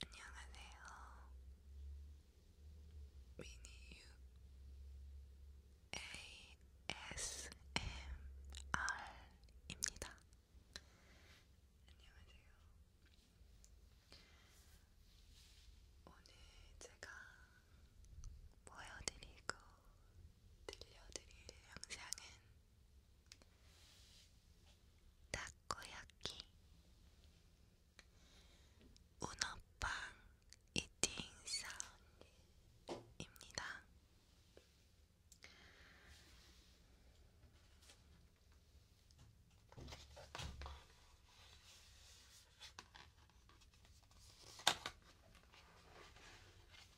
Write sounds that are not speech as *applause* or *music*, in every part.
안녕하세요. 미니유 ASMR입니다. 안녕하세요. 오늘 제가 보여드리고 들려드릴 영상은 타코야키 우너빵 이팅 사운드입니다.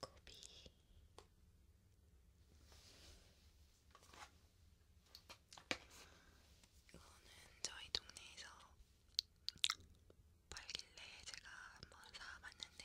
닭고비 이거는 저희 동네에서 팔길래 제가 한번 사봤는데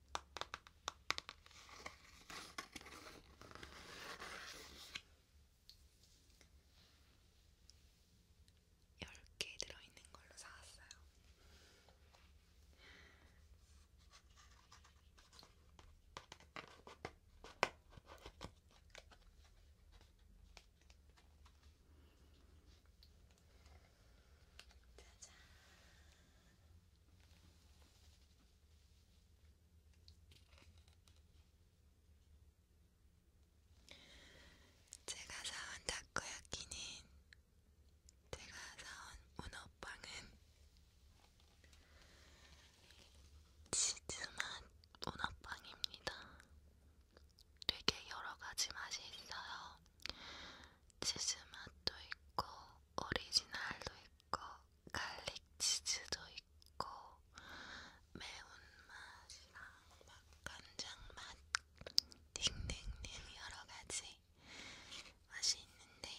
10개 들어있는 걸로 사왔어요. 짜잔. 제가 사온 다코야끼는 제가 사온 문어빵은 치즈맛 문어빵입니다. 되게 여러가지 맛이 있어요. 치즈맛도 있고 오리지널도 있고 있고 갈릭 치즈도 있고 매운맛이랑 막 간장맛 딩딩딩 여러가지 맛이 있는데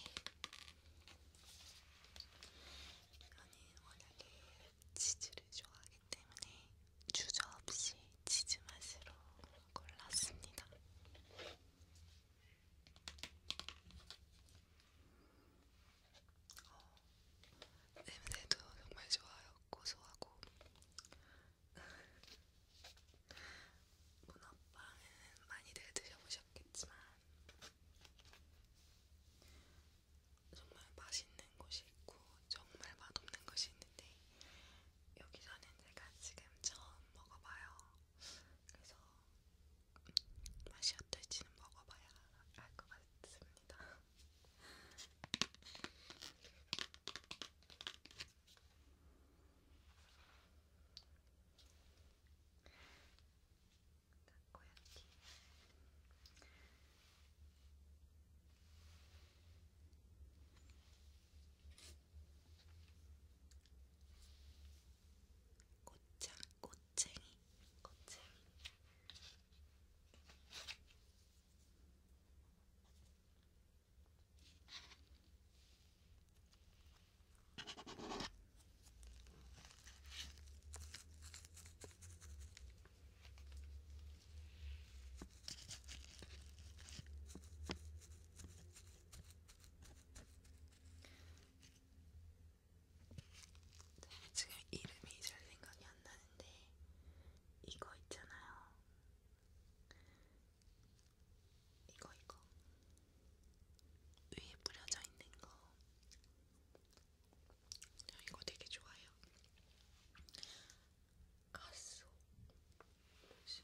저는 워낙에 치즈를 좋아하기 때문에 주저없이 치즈맛으로 골랐습니다. 어, 냄새도 정말 좋아요. 고소하고 문어빵은 많이들 드셔보셨겠지만 정말 맛있는 곳이 있고 정말 맛없는 곳이 있는데 여기 저는 제가 지금 처음 먹어봐요. 그래서 맛이 어떨지는 먹어봐야 알 것 같습니다. 고야키 *laughs* 음. 꽃장, 꽃쟁이, 꽃쟁이. 지금 이름이 잘 생각이 안 나는데 이거 있잖아요. 이거 이거 위에 뿌려져 있는 거. 저 이거 되게 좋아요. 가수. 뭐지?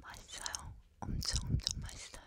맛있어요. 엄청 엄청 맛있어요.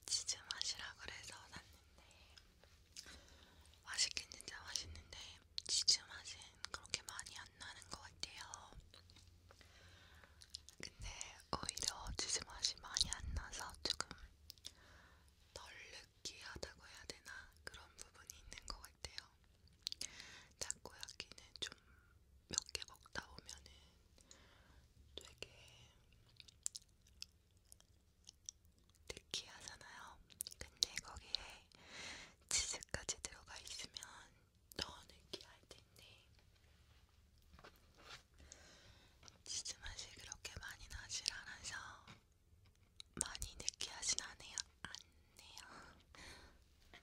이게 치즈 맛이라 그래서 샀는데 맛있긴 진짜 맛있는데 치즈 맛은 그렇게 많이 안 나는 것 같아요. 근데 오히려 치즈 맛이 많이 안 나서 조금 덜 느끼하다고 해야 되나 그런 부분이 있는 것 같아요. 타코야끼는 좀 몇 개 먹다 보면은 되게 느끼하잖아요. 근데 거기에 치즈까지 들어가 있으면 더 느끼할 텐데 치즈 맛이 그렇게 많이 나질 않아서 많이 느끼하진 않네요. 않네요. 치즈.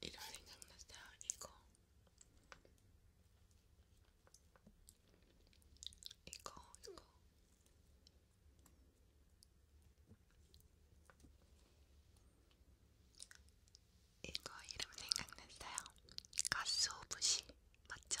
이런 생각났어요. 이거 이거 이거 이거 이름 생각났어요. 가스 오브시 맞죠?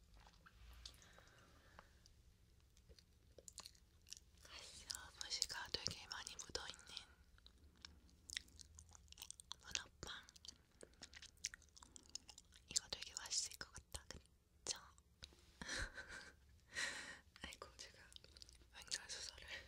가시어부시가 되게 많이 묻어있는 문어빵 이거 되게 맛있을 것 같다 그쵸? *laughs* 아이고 제가 왼손 수저를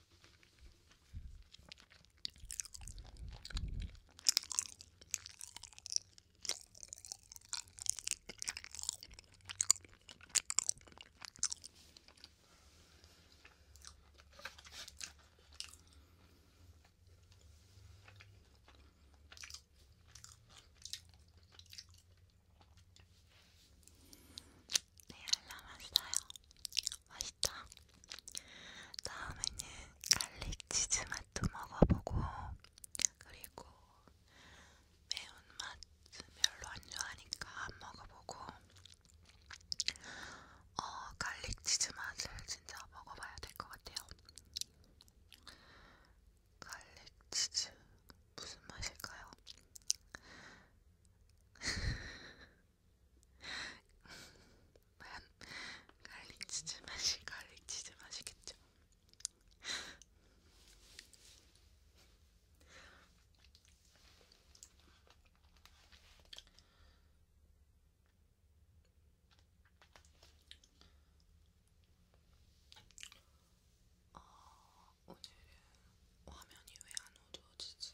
네, 알람 왔어요. 맛있다. 다음에는 갈릭 치즈 맛도 먹어보고 그리고 매운맛 별로 안 좋아하니까 안 먹어보고 어 갈릭 치즈 맛을 진짜 먹어봐야 될 것 같아요. 갈릭 치즈 무슨 맛일까요? *laughs* 갈릭 치즈 맛이 갈릭 치즈 맛이겠죠. 어, 오늘은 화면이 왜안 어두워지지?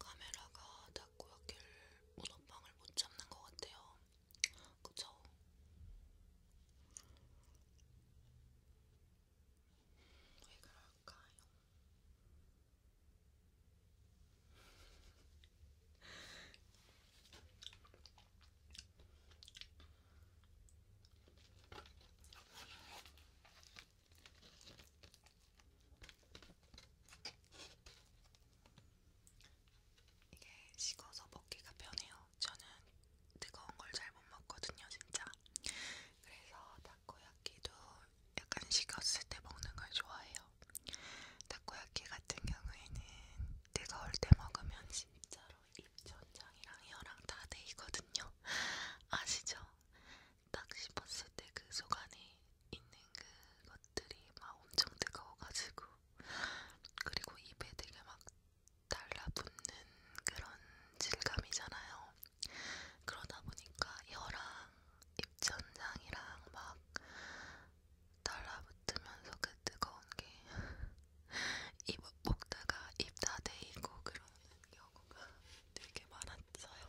카메라가 자꾸 여길 문어빵을 못 잡는 것 같아요. 그쵸? 왜 그럴까요? 이게 식어서 먹기가 편해요. 저는 뜨거운 걸 잘 못 먹거든요, 진짜. 그래서 타코야끼도 약간 식었을 때 먹는 걸 좋아해요. 타코야키 같은 경우에는 뜨거울 때 먹으면 진짜로 입 전장이랑 혀랑 다 데이거든요. *laughs* 아시죠? 딱 씹었을 때그속 안에 있는 그것들이 막 엄청 뜨거워가지고 그리고 입에 되게 막 달라붙는 그런 질감이잖아요. 그러다 보니까 혀랑 입천장이랑 막 달라붙으면서 그 뜨거운 게 입 *laughs* 먹다가 입다 대이고 그러는 경우가 되게 많았어요.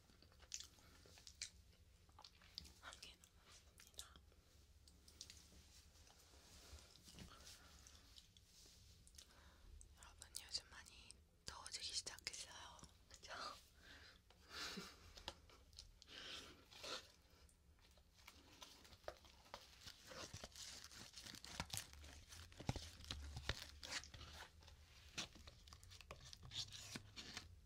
한개 남았습니다. 여러분 요즘 많이 더워지기 시작했어요. 그죠? *laughs*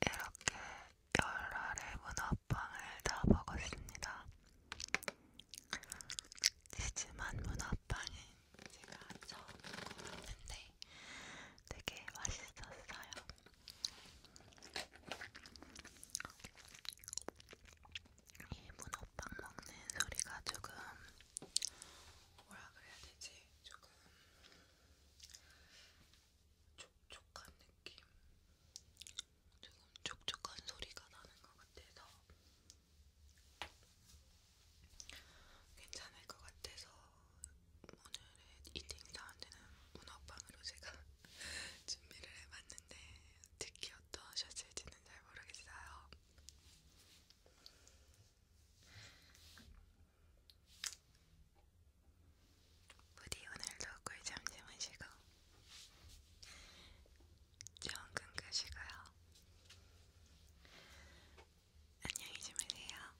이렇게 열알의 문어빵을 다 먹었습니다. 치즈만 문어빵은 제가 처음 먹었는데 되게 맛있었어요. 이 문어빵 먹는 소리가 조금 뭐라 그래야 되지? 조금 촉촉한 느낌? 조금 촉촉한 소리가 나는 것 같아서 괜찮을 것 같아서 오늘의 이팅 사운드는 문어빵으로 제가 *laughs* 준비를 해봤는데 특히 어떠셨을지는 잘 모르겠어요. 부디 오늘도 꿀잠 주무시고 좋은 꿈 꾸시고요. 안녕히 주무세요.